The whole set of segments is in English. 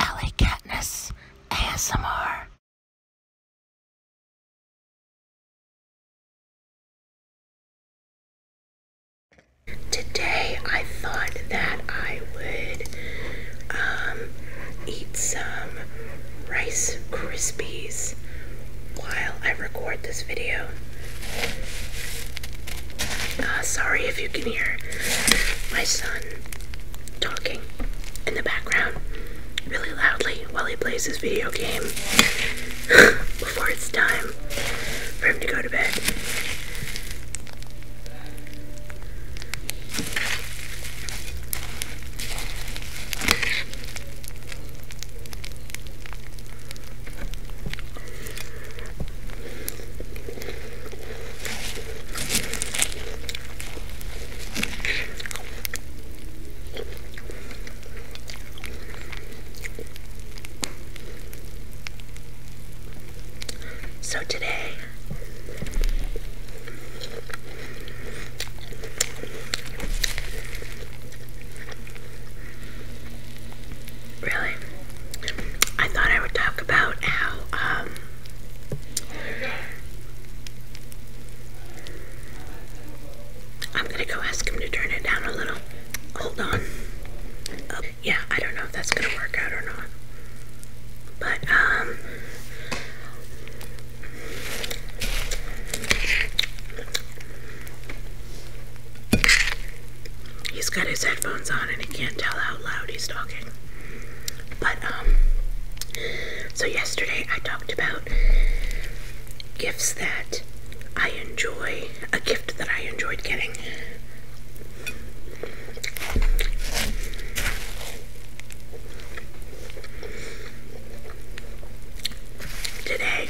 Ellie Katniss ASMR. Today I thought that I would um, eat some Rice Krispies while I record this video. Uh, sorry if you can hear my son talking in the background really loudly while he plays his video game before it's time for him to go to bed. So today Really? I thought I would talk about how um, I'm gonna go ask him to turn it down a little. Hold on. Oh, yeah, I don't know if that's gonna work out or not. But um, He's got his headphones on and he can't tell how loud he's talking. But, um, so yesterday I talked about gifts that I enjoy, a gift that I enjoyed getting. Today,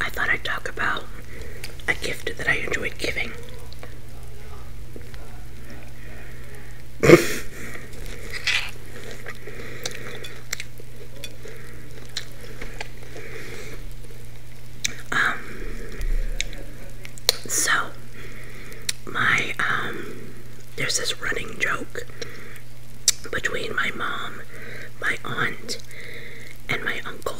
I thought I'd talk about a gift that I enjoy giving. um, so, my, um, there's this running joke between my mom, my aunt, and my uncle.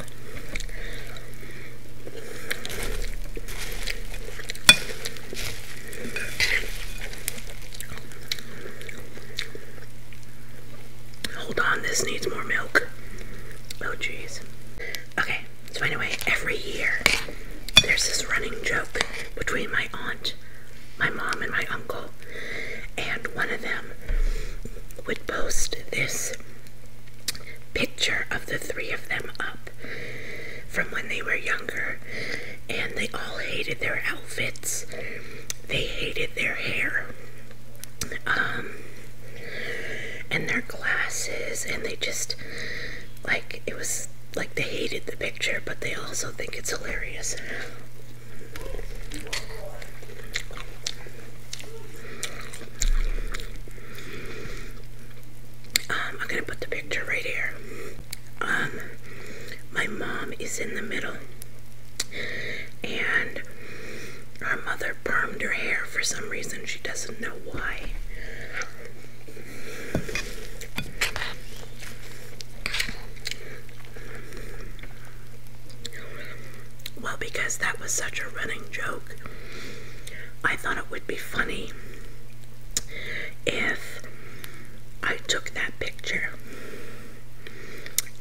Hold on, this needs more milk. Oh, jeez. Okay, so anyway, every year there's this running joke between my aunt my mom, and my uncle, and one of them would post this picture of the three of them up from when they were younger, and they all hated their outfits, they hated their hair. Um, and their glasses, and they just like it was like they hated the picture, but they also think it's hilarious. Um, I'm gonna put the picture right here. Um, my mom is in the middle, and her mother permed her hair for some reason. She doesn't know why. Well, because that was such a running joke, I thought it would be funny if I took that picture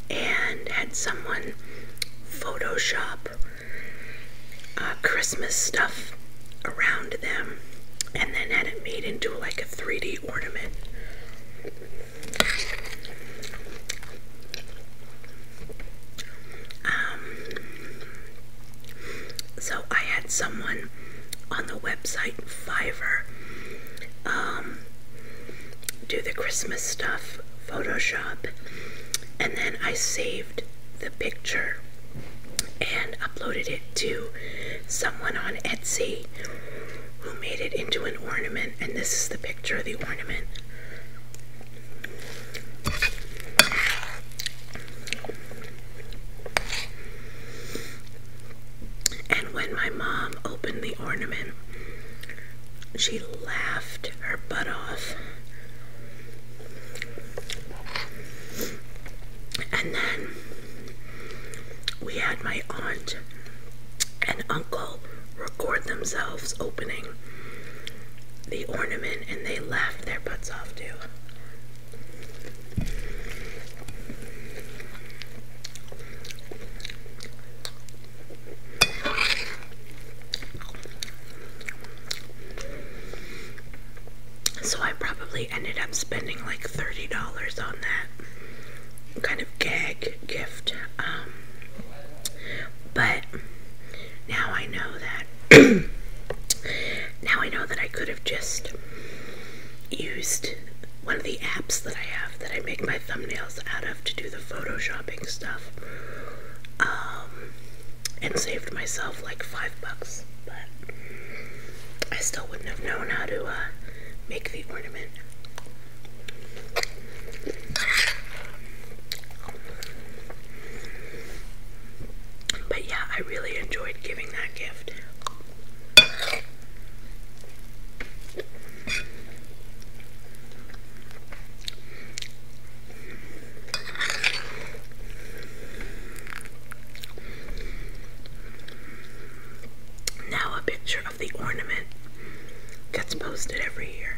and had someone Photoshop uh, Christmas stuff around them and then had it made into like a 3D ornament. Um, so I had someone on the website Fiverr um, do the Christmas stuff, Photoshop, and then I saved the picture and uploaded it to someone on Etsy who made it into an ornament, and this is the picture of the ornament. And when my mom opened the ornament, she laughed her butt off. And then we had my aunt and uncle record themselves opening the ornament and they laughed their butts off too. So I probably actually ended up spending like $30 on that kind of gag gift. Um, but now I know that. now I know that I could have just used one of the apps that I have that I make my thumbnails out of to do the photoshopping stuff. Um, and saved myself like five bucks, but I still wouldn't have known how to uh, make the ornament. But yeah, I really enjoyed giving that gift. Now, a picture of the ornament gets posted every year.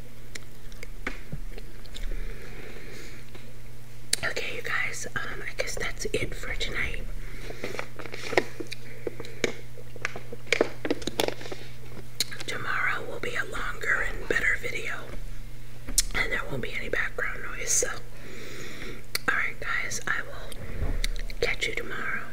Okay, you guys, um, I guess that's it for tonight. Tomorrow will be a longer and better video, and there won't be any background noise. So, alright, guys, I will catch you tomorrow.